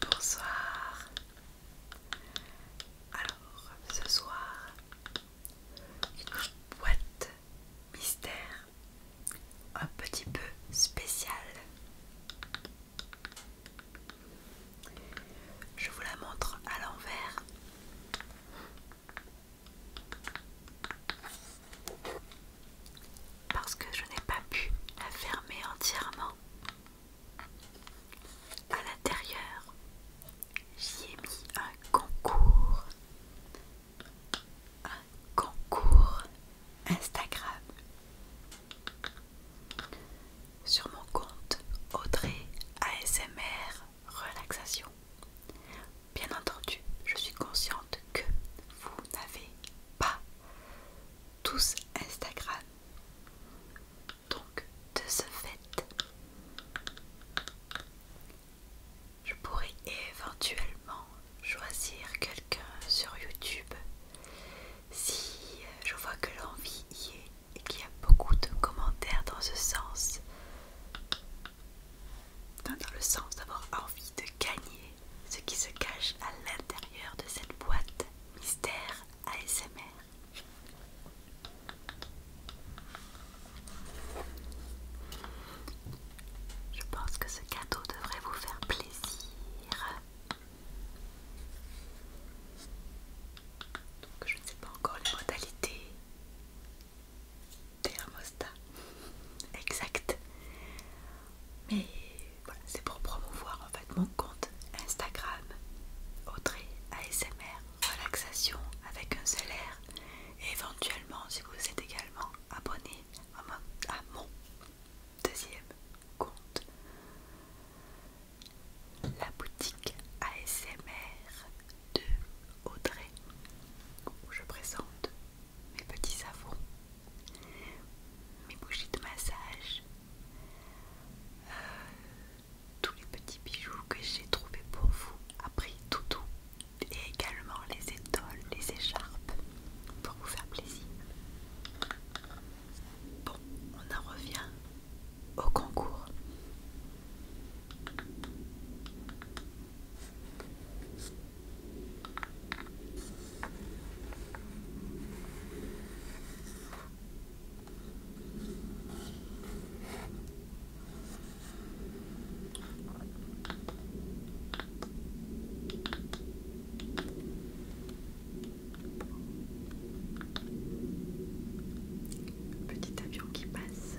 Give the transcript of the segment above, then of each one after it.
Bonsoir. Alors, ce soir, une boîte mystère un petit peu spéciale. Je vous la montre à l'envers. Parce que je n'ai pas pu la fermer entièrement. À l'intérieur, j'y ai mis un concours. Un concours Instagram sur mon compte Audrey ASMR Relaxation. Bien entendu, je suis consciente que vous n'avez pas tous Instagram. Donc, de ce fait, je pourrais éventuellement choisir quelqu'un sur YouTube si je vois que l'envie y est et qu'il y a beaucoup de commentaires dans ce sens. dans le sens d'avoir envie de gagner ce qui se cache à l'intérieur de cette boîte mystère ASMR. Je pense que ce cadeau devrait vous faire plaisir. Donc je ne sais pas encore les modalités thermostat exact. Mais voilà, c'est pour promouvoir en fait mon compte Instagram Audrey ASMR relaxation avec un seul et éventuellement si vous êtes également abonné à mon deuxième compte la boutique ASMR de Audrey où je présente mes petits savons, mes bougies de massage, euh, tous les petits bijoux que j'ai trouvés pour vous après toutou, tout et également les étoiles, les écharpes pour vous faire plaisir. Bon, on en revient au concours. Petit avion qui passe.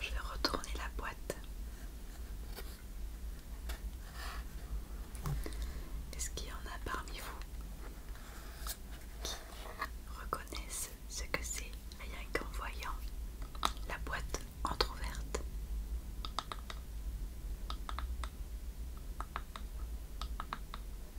je vais retourner la boîte. Est-ce qu'il y en a parmi vous qui reconnaissent ce que c'est rien qu'en voyant la boîte entr'ouverte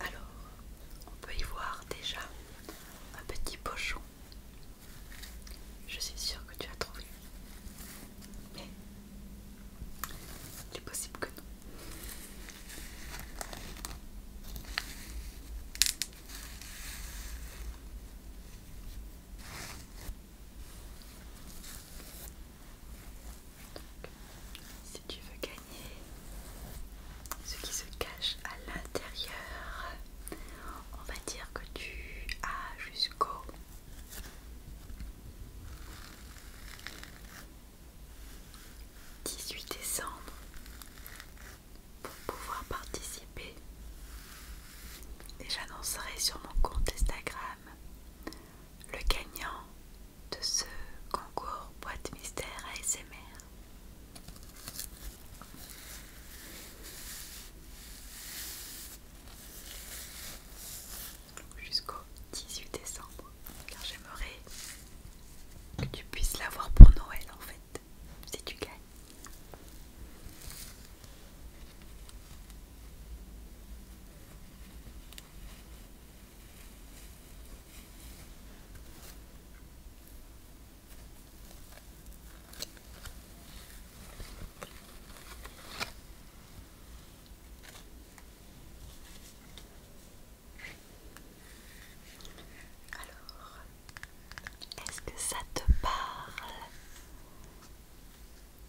Alors, on peut y voir déjà un petit pochon. Je suis sûre que tu as trouvé. Mais il est possible que non. Si tu veux gagner ce qui se cache à l'intérieur, on va dire que tu as jusqu'au 18 décembre pour pouvoir participer et j'annoncerai sur mon compte Instagram le gagnant de ce concours boîte mystère ASMR. Jusqu'au 18 décembre, car j'aimerais que tu puisses l'avoir pour Noël en fait c'est si tu gagnes. Alors, est-ce que ça te parle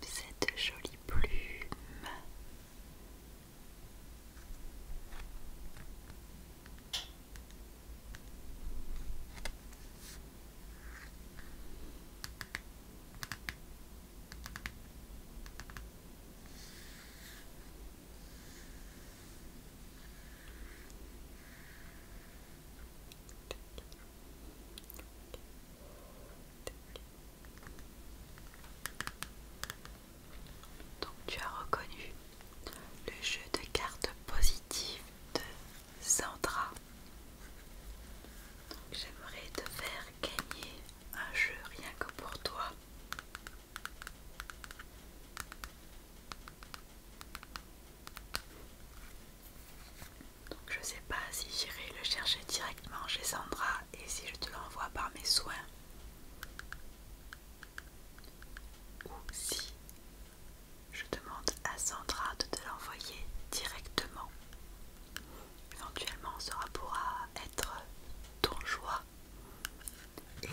Cette jolie plume donc tu as reconnu le jeu de cartes positives de Sandra. J'aimerais te faire gagner un jeu rien que pour toi. Donc je sais pas si j'irai le chercher directement chez Sandra et si je te l'envoie par mes soins. Ou si je demande à Sandra de te l'envoyer directement. Éventuellement, cela pourra être ton joie et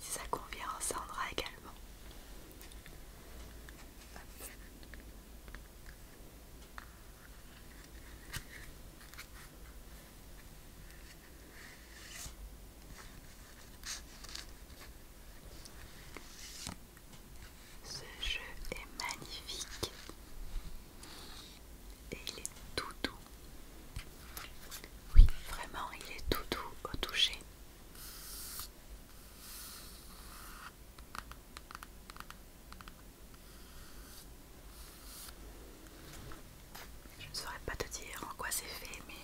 ça convient, en cendra également. Ce jeu est magnifique et il est tout doux. Oui, vraiment, il est tout doux au toucher. Je ne saurais pas te dire en quoi c'est fait, mais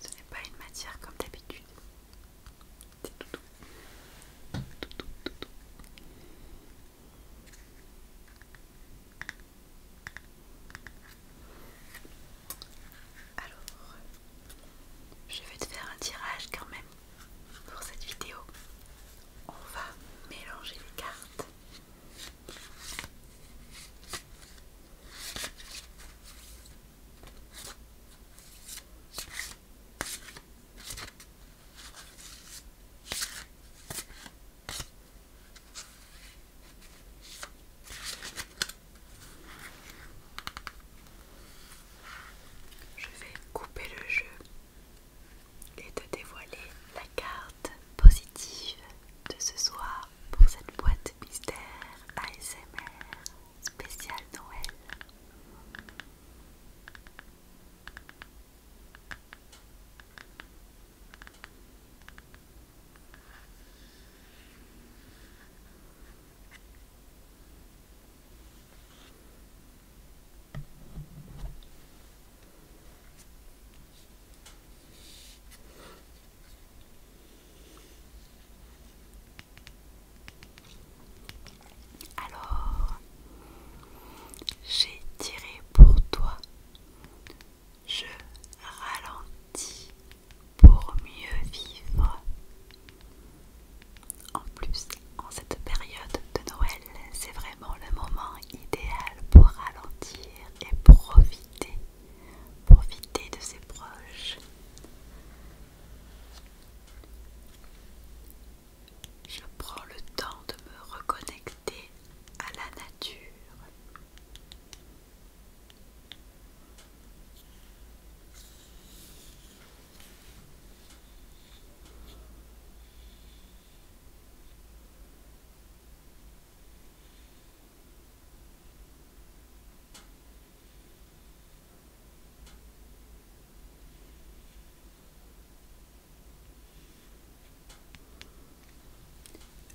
ce n'est pas une matière comme d'habitude. C'est tout doux. Alors, je vais te faire un tirage quand même pour cette vidéo. On va mélanger les cartes. Je vais couper le jeu et te dévoiler la carte positive de ce soir pour cette boîte mystère ASMR spéciale Noël. Alors, j'ai tiré pour toi je ralentis pour mieux vivre. En plus, en cette période de Noël, c'est vraiment le moment idéal pour ralentir et profiter, profiter de ses proches. Je prends le temps de me reconnecter à la nature.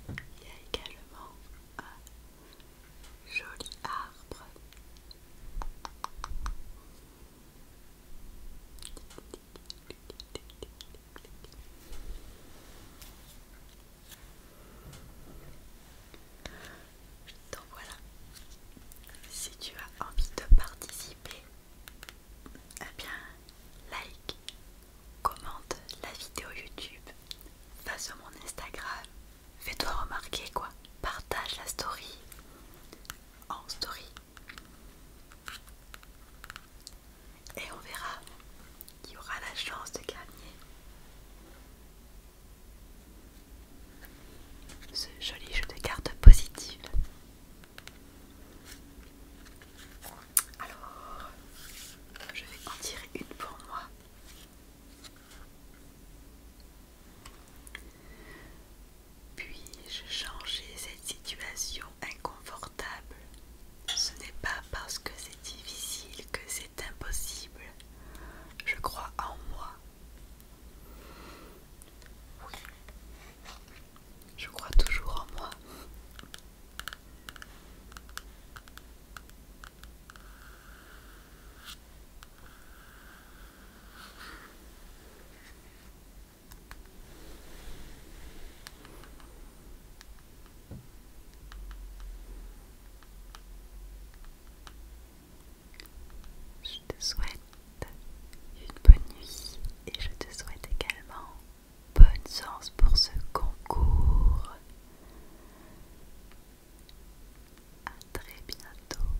Il y a également un joli arbre donc voilà si tu as envie de participer eh bien, like, commente la vidéo YouTube, face sur mon Instagram, fais-toi remarquer quoi, partage la story en story. Et on verra qui aura la chance de gagner ce joli jeu de cartes positives. Alors, je vais en tirer une pour moi. Puis-je changer cette situation inconfortable Ce n'est pas parce que c'est difficile que c'est impossible. Je crois en moi. Oui. Je crois toujours en moi. Je te souhaite une bonne nuit et je te souhaite également bonne chance pour ce concours. À très bientôt.